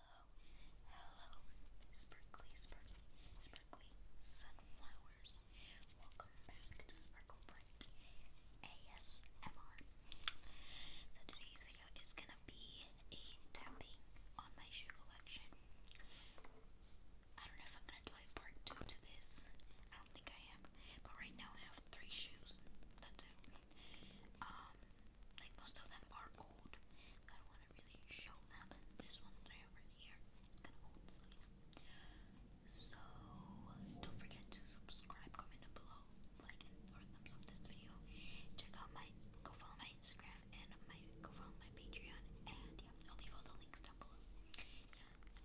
hello, sparkly, sparkly, sparkly sunflowers. Welcome back to Sparkle Bright ASMR. So today's video is gonna be a tapping on my shoe collection. I don't know if I'm gonna do part two to this. I don't think I am, but right now I have three shoes like most of them are old. I do really show them. This one right here is kind of old, so don't forget to subscribe, comment down below, like or thumbs up this video. Check out my go follow my Instagram and my go follow my Patreon and yeah, I'll leave all the links down below.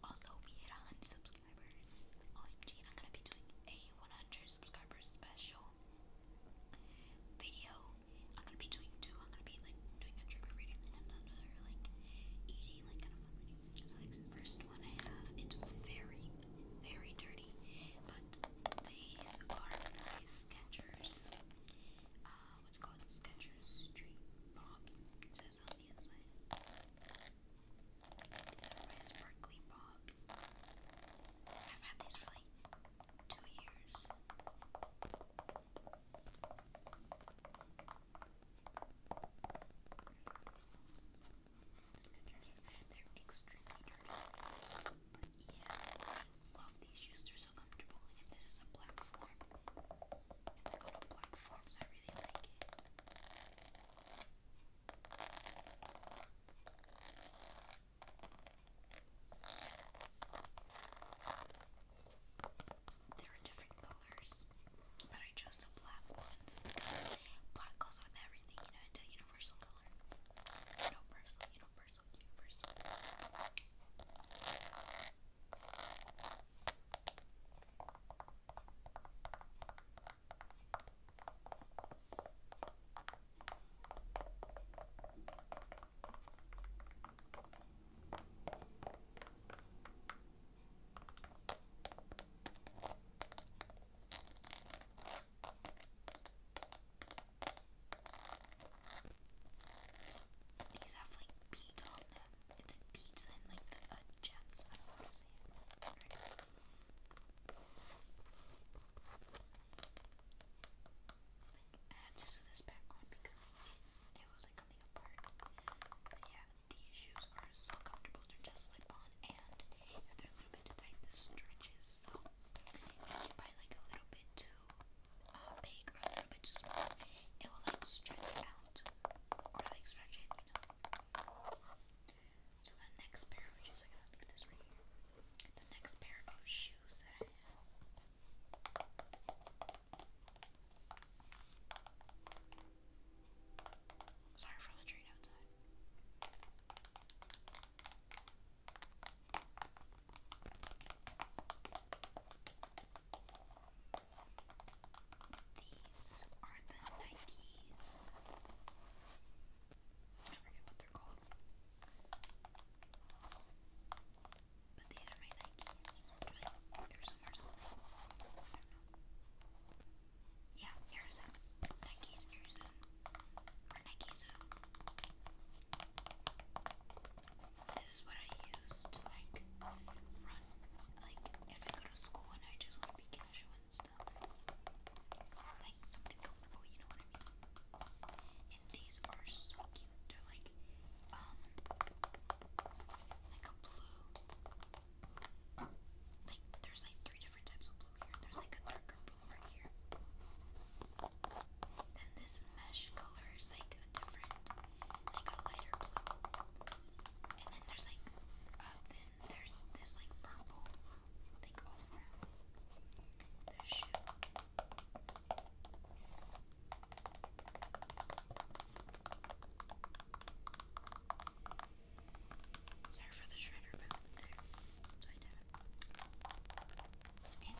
Also, we hit 100 subscribers subscribers. OMG, I'm gonna be doing a 100 subscribers special video. I'm gonna be doing two. I'm gonna be like doing a trigger reading and another like eating, like kind of fun reading. So like the first one I have, it's very, very dirty, but these are my Skechers. Uh, what's called Skechers Street Bobs. It says on the inside. These are my sparkly bobs. I've had these for like two years. They're extremely dirty. But yeah, I love these shoes. They're so comfortable. And this is a black form. It's a black form, so I really like it. There are different colors, but I chose the black ones because black goes with everything, you know, it's a universal color. Universal, universal, universal. Okay, these have like beads on them. It's like beads and like the uh, gems. I don't know how to say it. I this back because it, wasn't coming apart. But yeah, these shoes are so comfortable to just slip on, and if they're a little bit tight, this stretches. So if you buy like a little bit too uh, big or a little bit too it will like stretch it out or like stretch it, so the next pair of shoes, I got leave this right here. The next pair of shoes that I have. Sorry for the train outside. These are the Nikes. I forget what they're called. But these are my Nikes. Yeah, here's a Nikes. Here's a. Or Nikes. this is what I use to like run. Like, if I go to school and I just want to be casual like something comfortable, you know what I mean? And these are so cute. They're like, um, like a blue. Like, there's like three different types of blue here. There's like a darker blue right here. Then this mesh color is like different, like a lighter blue. And then there's like there's this like purple like all around the shoe. Sorry for the shredder bound And the bottom is like blue. The Nike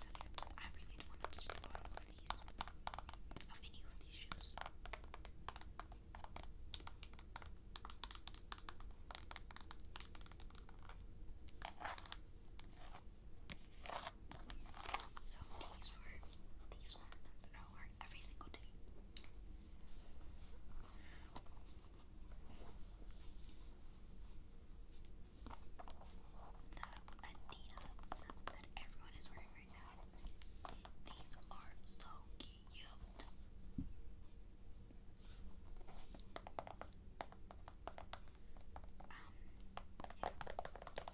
side. I really don't want to touch the bottom these, of So these were these ones that I wore every single day. The Adidas that everyone is wearing pronounce. These are so cute. Um,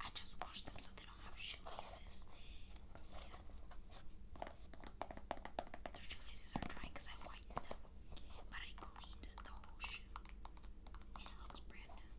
I just washed them so they don't have shoelaces. Yeah. Their shoelaces are dry because I whitened them, but I cleaned the whole shoe, it looks brand new.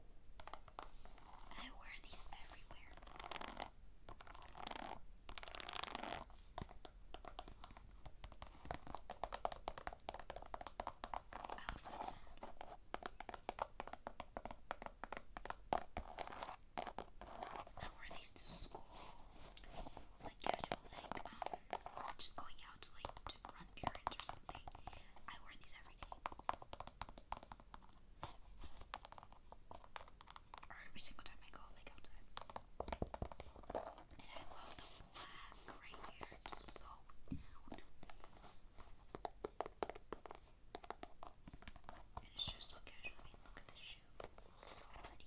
I wear these everywhere. Outfits. I wear these to school, like casual, like um, just going out to like run errands or something. I wear these every day. Or every single time I go like outside. And I love the black right here. It's so cute. it's just so casual. look at this shoe. So pretty.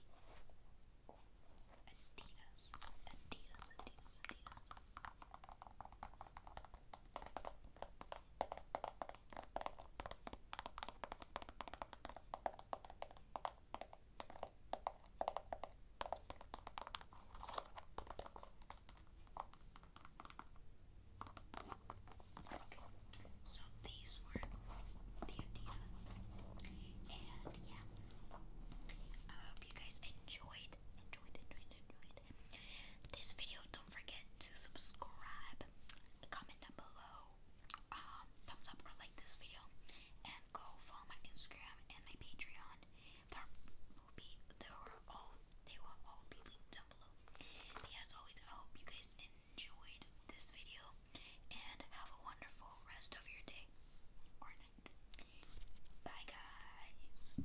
Adidas. Adidas, Adidas, Adidas. So these were the Adidas. And yeah. I hope you guys enjoyed, enjoyed, enjoyed, enjoyed, this video, don't forget to subscribe, comment down below, um, thumbs up or like this video, and go follow my Instagram and my Patreon. they will all be linked down below. as always, I hope you guys enjoyed this video and have a wonderful rest of your day or night. Bye, guys.